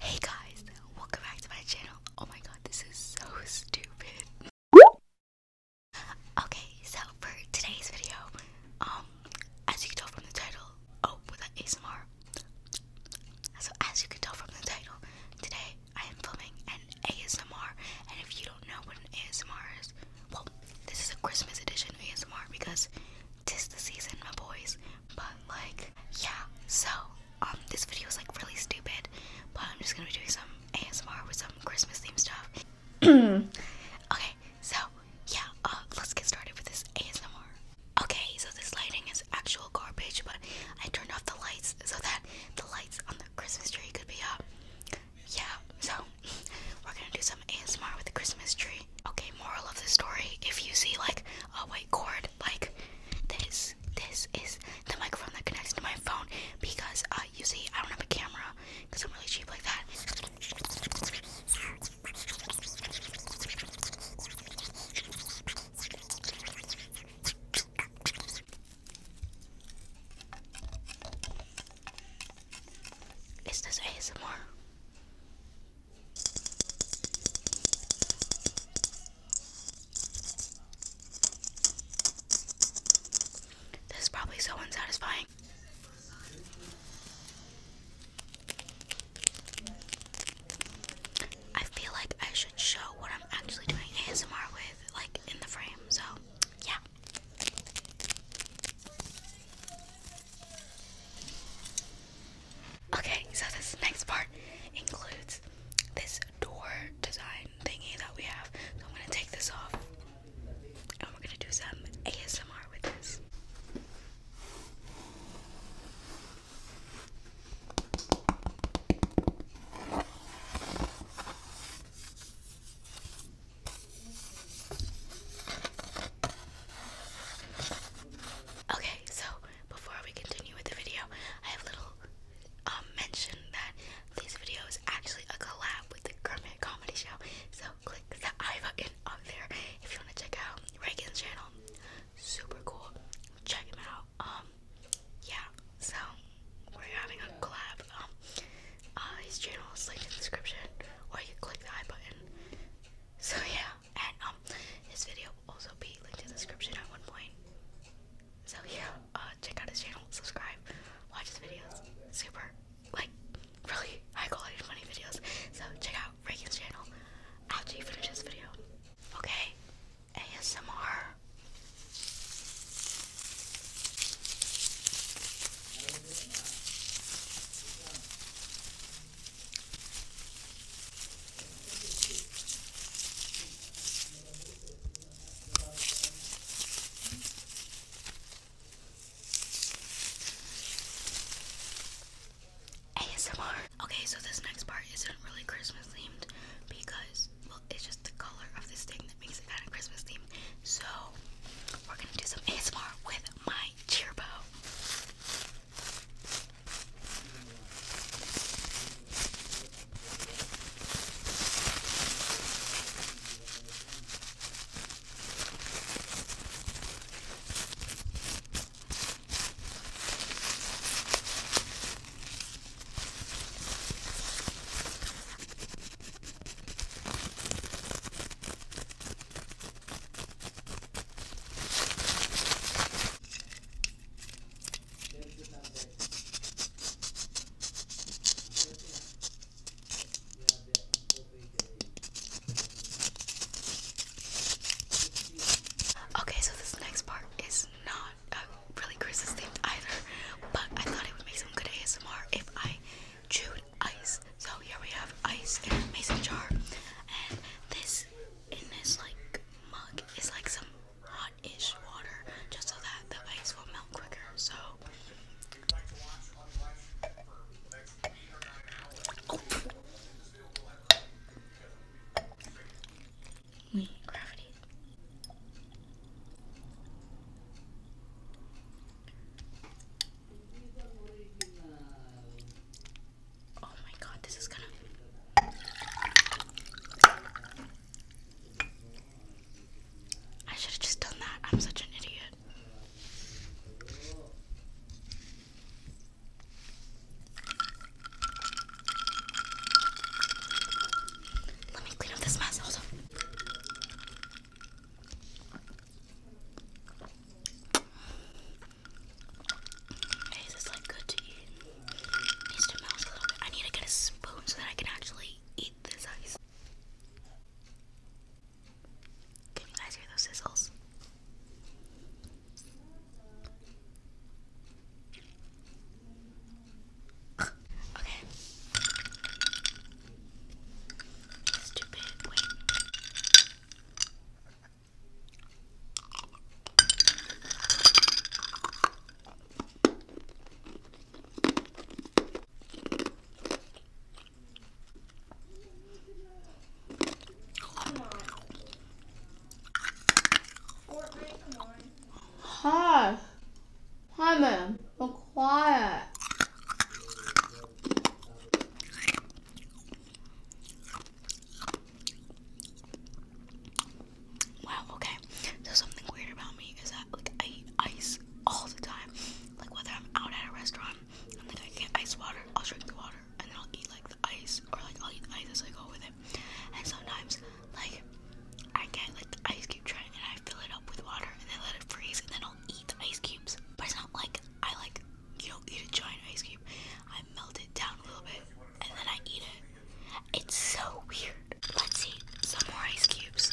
Hey guys, welcome back to my channel. Oh my god, this is so stupid. Okay, so for today's video, um, as you can tell from the title, oh, with that ASMR. So as you can tell from the title, today I am filming an ASMR, and if you don't know what an ASMR is, well, this is a Christmas edition ASMR because tis the season, my boys. But like, yeah. So um, this video is like really stupid, but I'm just gonna be doing some ASMR with some Christmas theme stuff. okay, so yeah, uh, let's get started with this ASMR. Okay, so this lighting is actual garbage, but I turned off the lights so that the lights on the Christmas tree could be up. Yeah, so we're gonna do some ASMR with the Christmas tree. Okay, moral of the story if you see like a white cord like this. This is the microphone that connects to my phone because uh, you see, I don't have a camera because I'm really cheap like that. Is this ASMR? This is probably so unsatisfying. I feel like I should show what I'm actually doing ASMR with, like in the frame, so yeah. Okay, so this next part includes this door design thingy that we have. So I'm gonna take this off and we're gonna do some ASMR with this. Okay, so before we continue with the video, I have a little um, mention that this video is actually a collab with the Kermit Comedy Show. So click the I button up there if you want to check out Reagan's channel. Super cool. Check him out. Um, yeah. So we're having a collab. Um, uh, his channel is linked in the description, or you can click the I button. So yeah, yeah, and um, his video will also be linked in the description at one point. So yeah, uh, check out his channel, subscribe, watch his videos. Super, like, really high quality, funny videos. So check out Reagan's channel after you finish this video. Okay, ASMR. ASMR. Okay, so this next part isn't really Christmas themed because, well, it's just the color of this thing that makes it kind of Christmas themed. So, we're gonna do some ASMR with my Cheerbo. Okay, so this next part is not really Chris's themed either, but I thought it would make some good ASMR if I chewed ice. So here we have ice in a mason jar, and this in this like mug is like some hot-ish water, just so that the ice will melt quicker. So. Oh. We gravity. Oh my god, this is gonna. I should have just done that. I'm such an idiot. Let me clean up this mess. Hey, like good to eat. It needs melt a little bit. I need to get a spoon so that I can actually eat this ice. guys hear those sizzles? okay. Stupid, wait. Come Hi. Hi, ma'am quiet. Wow, okay. So something weird about me is that like I eat ice all the time. Like whether I'm out at a restaurant and like I get ice water, I'll drink the water and then I'll eat like the ice or like I'll eat ice as I go with it. And sometimes like I get like the ice cube tray and I fill it up with water and then let it freeze and then I'll eat ice cubes, but it's not like I like you don't eat a giant ice cube. I melt it down a little bit and then I eat it. It's so weird. Let's eat some more ice cubes.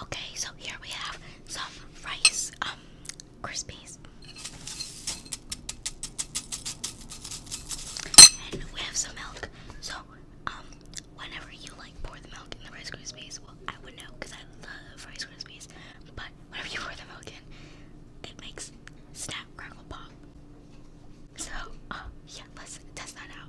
Okay, so here we have some rice um crispies. And we have some milk. So, um, whenever you like pour the milk in the Rice Krispies, well, I would know because I love Rice Krispies. But whenever you pour the milk in, it makes snap, crackle, pop. So, uh, yeah, let's test that out.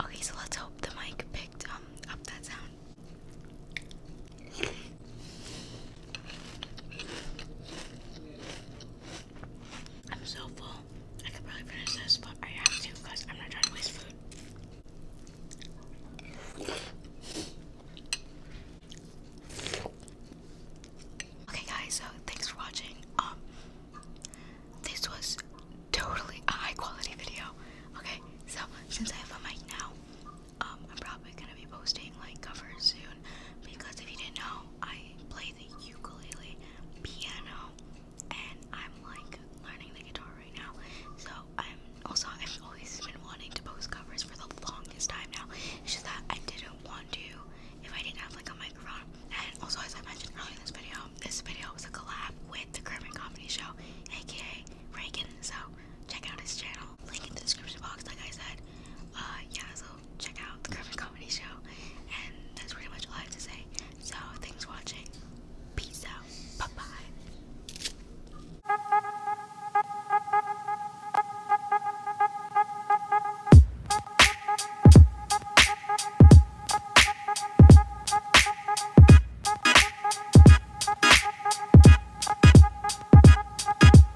Okay, so let's hope the mic picked um, up that sound. I'm so full. I could probably finish this, but I have to because I'm not trying to waste food. Okay, guys, so thanks for watching. Um, this was totally a high quality video. Okay, so since I have a mic now, um, I'm probably gonna be posting like covers soon because if you didn't know, I play the ukulele, piano, and I'm like learning the guitar right now. So I'm also I've always been wanting to post covers for the longest time now. It's just that I didn't want to if I didn't have like a microphone. And also as I mentioned earlier in this video, this video was a collab with the Kermit Comedy Show, aka Reagan. So check out his channel. Link in the description box, like I said. Uh, yeah, so check out the Griffin Comedy Show. And that's pretty much all I have to say. So thanks for watching. Peace out. Bye bye.